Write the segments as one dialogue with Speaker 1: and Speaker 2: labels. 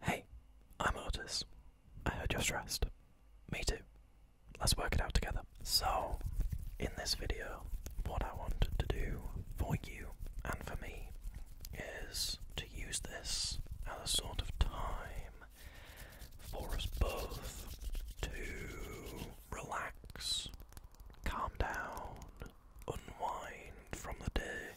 Speaker 1: Hey, I'm Otis. I heard you're stressed. Me too. Let's work it out together. So, in this video, what I wanted to do for you and for me is to use this as a sort of time for us both to relax, calm down, unwind from the day,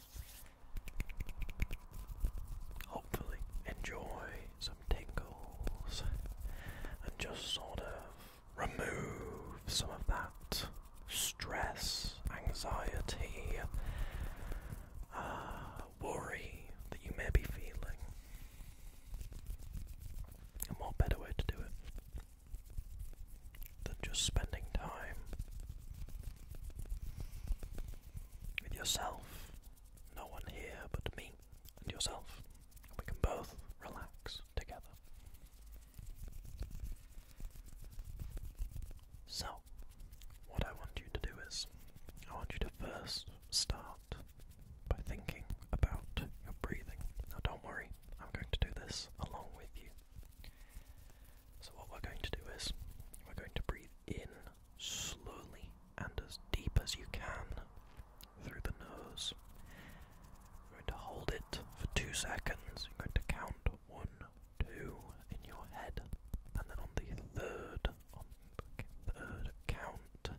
Speaker 1: hopefully enjoy some tingles and just sort of remove some of that stress, anxiety, uh, worry that you may be feeling. And what better way to do it than just spending time with yourself. No one here but me and yourself. And we can both relax together. So, what I want you to do is, I want you to first start by thinking about your breathing. Now, don't worry, I'm going to do this along with you. So, what we're going to do is we're going to breathe in slowly and as deep as you can through the nose. we are going to hold it for two seconds. You're going to count one, two in your head, and then on the third, on the third count,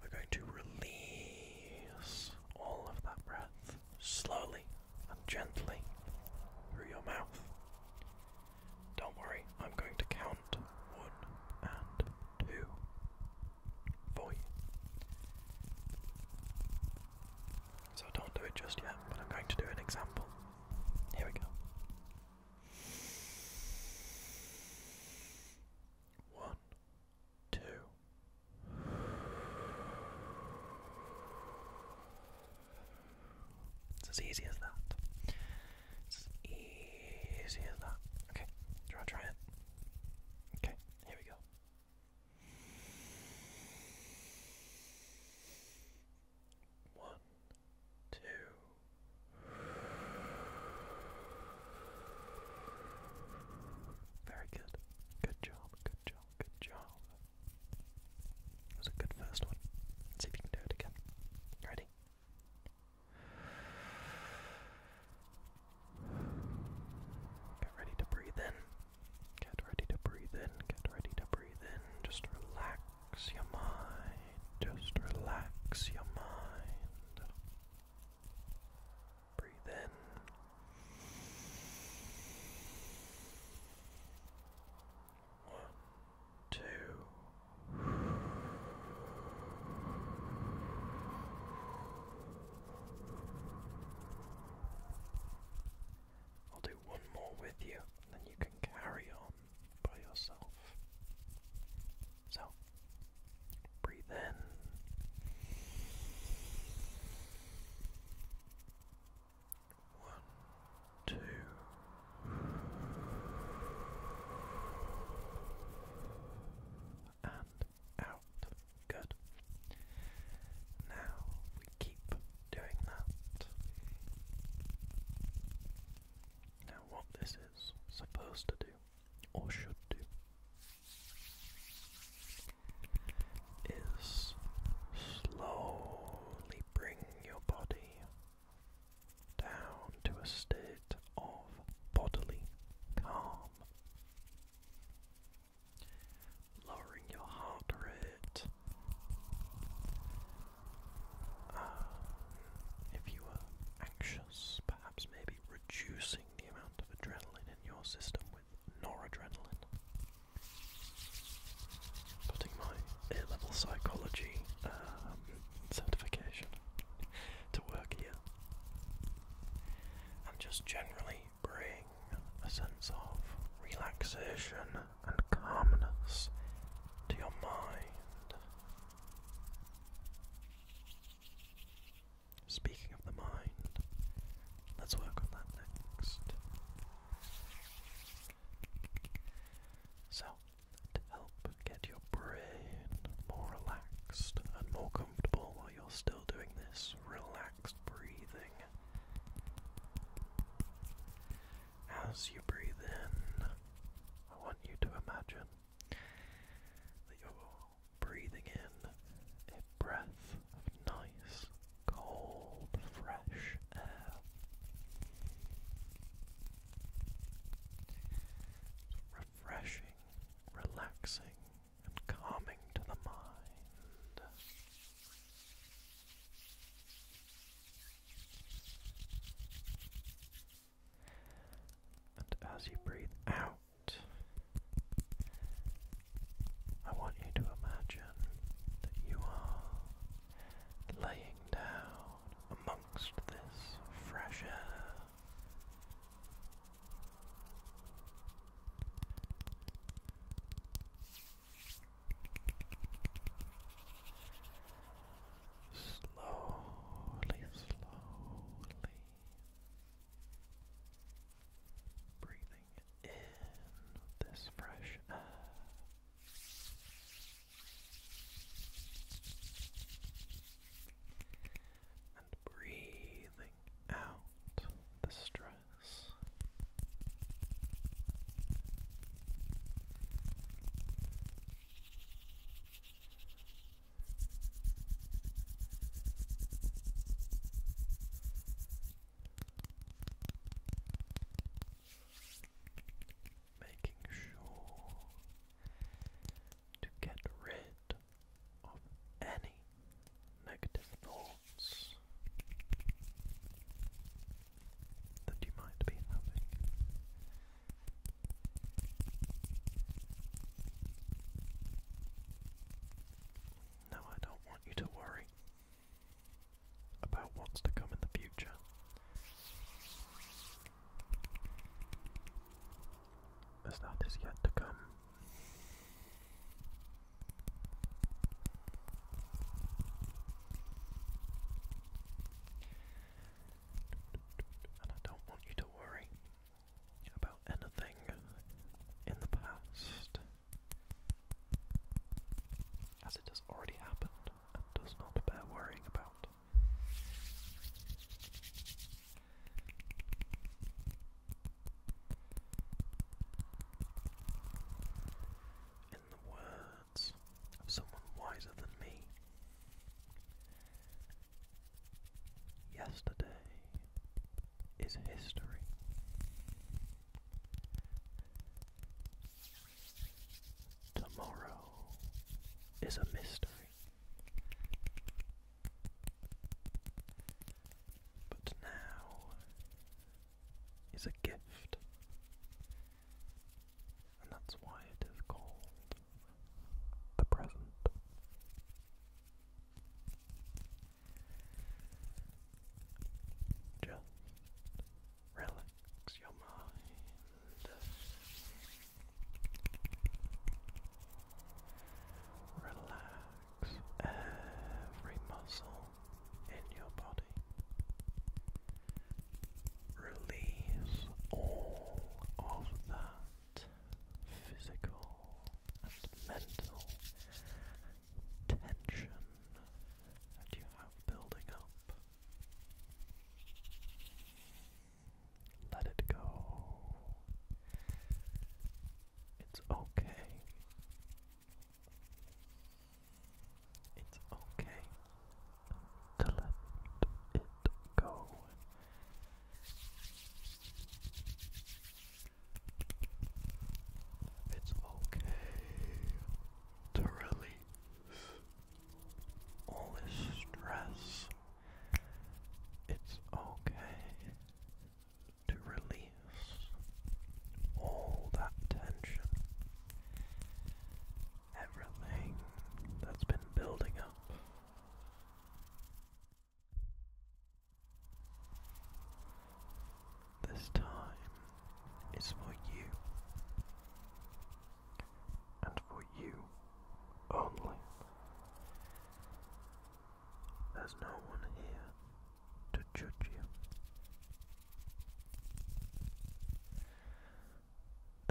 Speaker 1: we're going to release all of that breath slowly and gently through your mouth. Don't worry, I'm going to count one and two for you. So don't do it just yet, but I'm going to do an example. Here we go. One, two. It's as easy as that. It's easy as that. Okay, do you it? Okay, here we go. One, two. Very good. Good job, good job. Good job. That was a good first one. see if you can do it again. Ready? Get ready to breathe in. Get ready to breathe in. Get ready to breathe in. Just relax your mind. Just relax your mind. Breathe in. One, two. I'll do one more with you, and then you can carry on by yourself. So, breathe in. One, two. And out. Good. Now we keep doing that. Now, what this is supposed to do, or should do, is slowly bring your body down to a state of bodily calm. Lowering your heart rate. Um, if you are anxious, perhaps maybe reducing the amount of adrenaline in your system with noradrenaline. Putting my A-level psychology um, certification to work here, and just generally bring a sense of relaxation and calmness to your mind. Speaking of the mind, Let's work on that next. So, to help get your brain more relaxed and more comfortable while you're still doing this relaxed breathing, as you breathe in, I want you to imagine that you're breathing in breath of nice, cold, fresh air. refreshing, relaxing, and calming to the mind. And as you breathe out, I want you to imagine that you are laying down amongst this fresh air. Slowly, slowly breathing in this fresh air. And breathing out the stress making sure to get rid of any negative thoughts that you might be having. No, I don't want you to worry about what's to come in the future. As that is yet to come. And I don't want you to worry about anything in the past as it has already happened and does not bear worrying about. In the words of someone wiser than me, yesterday is history. Tomorrow is a mystery. But now is a gift. And that's why it is called the present. Just relax your mind. Relax every muscle in your body. Release all of that physical and mental tension that you have building up. Let it go. It's okay. It's okay to let it go. It's okay to release all this stress. It's okay to release all that tension. Everything that's been building up. This time is for you, and for you only. There's no one here to judge you.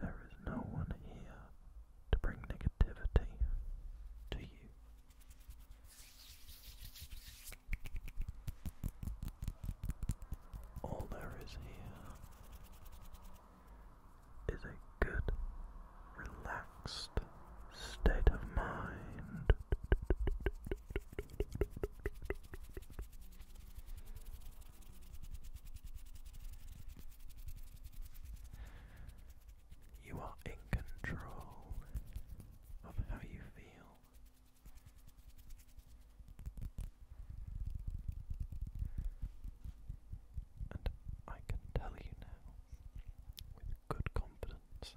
Speaker 1: There is no one here to bring negativity to you. All there is here is a good, relaxed state of mind. You are in control of how you feel. And I can tell you now with good confidence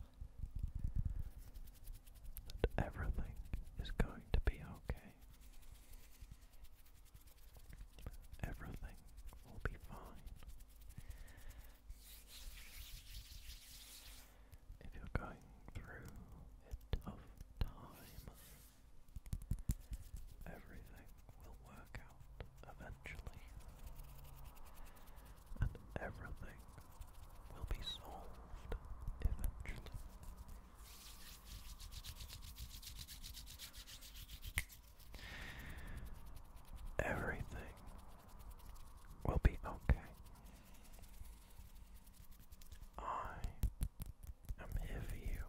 Speaker 1: that everything is going to be okay. Everything will be fine. If you're going through a tough time, everything will work out eventually, and everything will be solved eventually. Everything will be okay. I am here for you.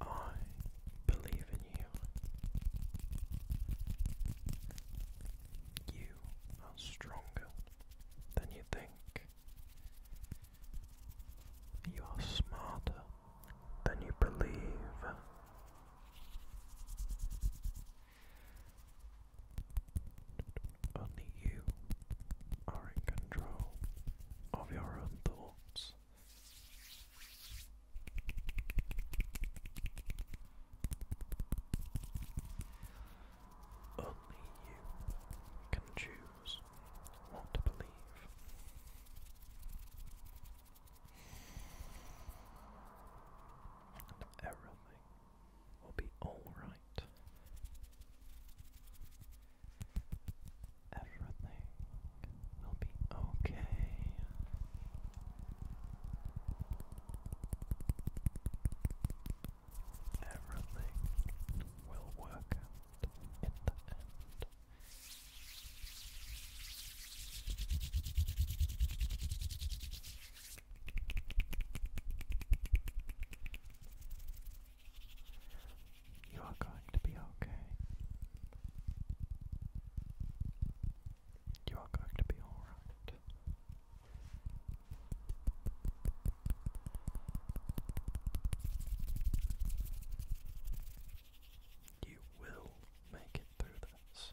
Speaker 1: I believe in you. You are stronger than you think. You are smarter than you believe. Only you are in control of your own thoughts. Only you can choose what to believe. And everything will be alright. Everything will be okay. Everything will work in the end. You are going to be okay. You are going to be alright. You will make it through this.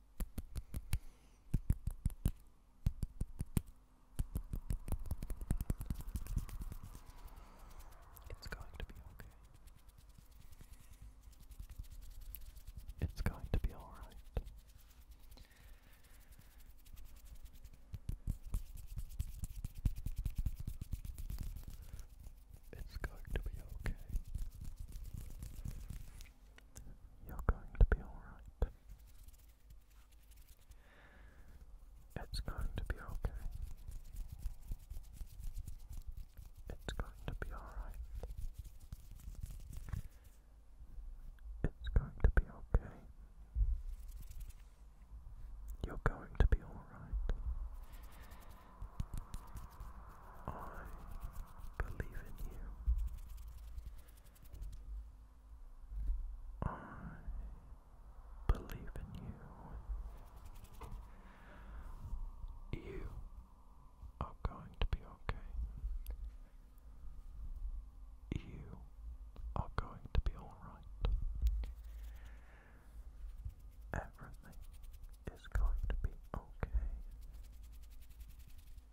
Speaker 1: It's going to be okay. It's going to be all right. It's going to be okay. You're going to be alright. It's going to be okay. It's going to be alright. It's going to be okay. You're going to be alright. I believe in you. I believe in you. You are going to be okay. You are going to be alright. Everything is going to be okay.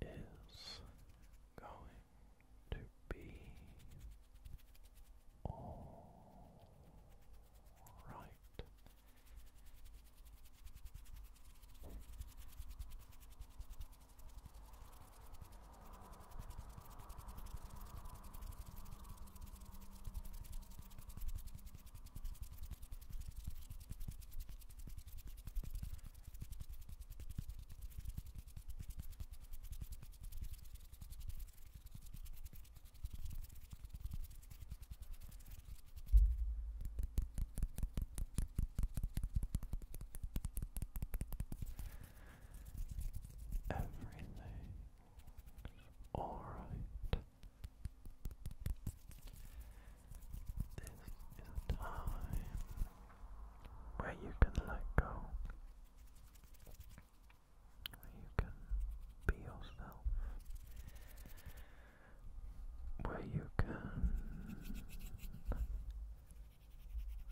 Speaker 1: is going to be all right. Everything's alright. This is a time where you can let go, where you can be yourself, where you can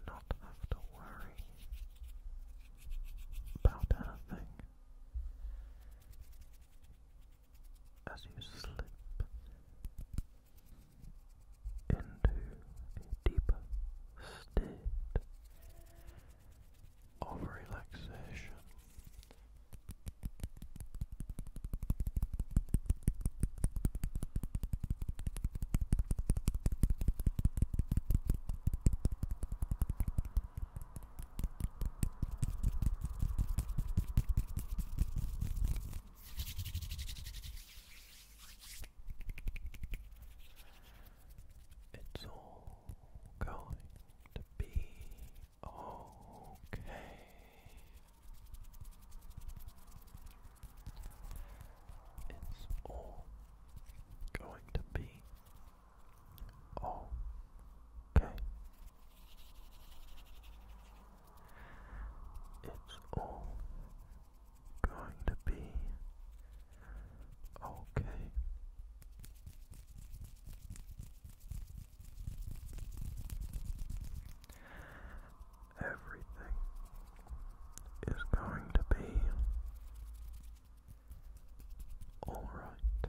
Speaker 1: not have to worry about anything as you slip into a deeper state of relaxation. It's all going to be okay. It's all going to be okay. It's all going to be okay. Everything is going to be all right.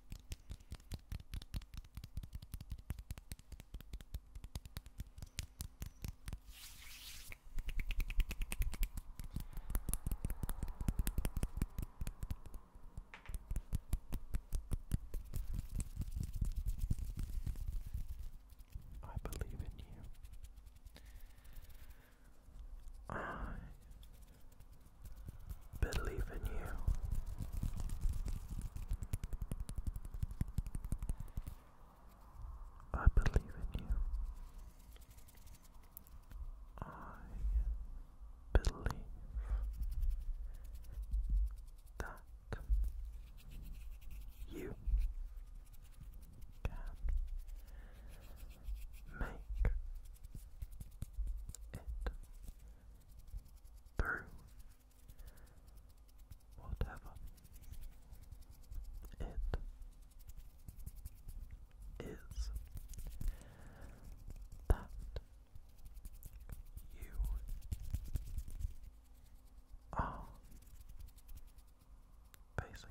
Speaker 1: I believe in you. I believe in you. I believe in you. I believe that you can make it through whatever it is that you are facing.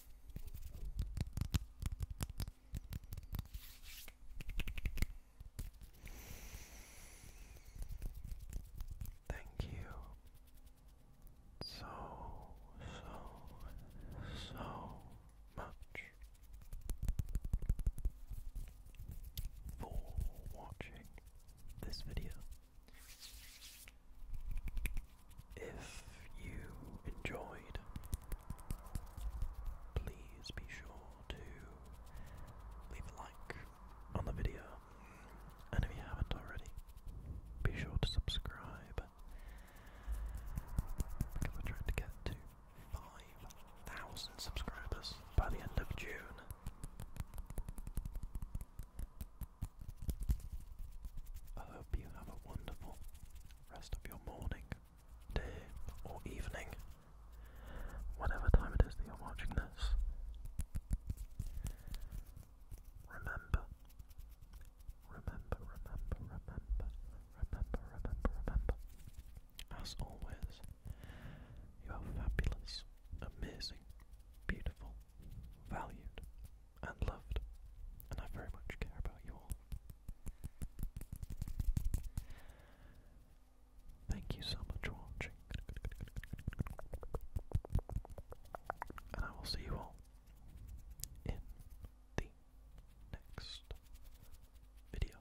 Speaker 1: Thank you so, so, so much for watching this video. If you enjoyed, please be sure to leave a like on the video, and if you haven't already, be sure to subscribe because we're trying to get to 5,000 subscribers by the end of June. I hope you have a wonderful rest of your morning, day, or evening, whatever time it is that you're watching this. Remember, remember, remember, remember, remember, remember, remember. As always, you are fabulous, amazing, beautiful, valued, and loved, and I very much care about you all. Thank you so much for watching, and I will see you all in the next video.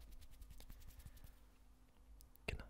Speaker 1: Good night.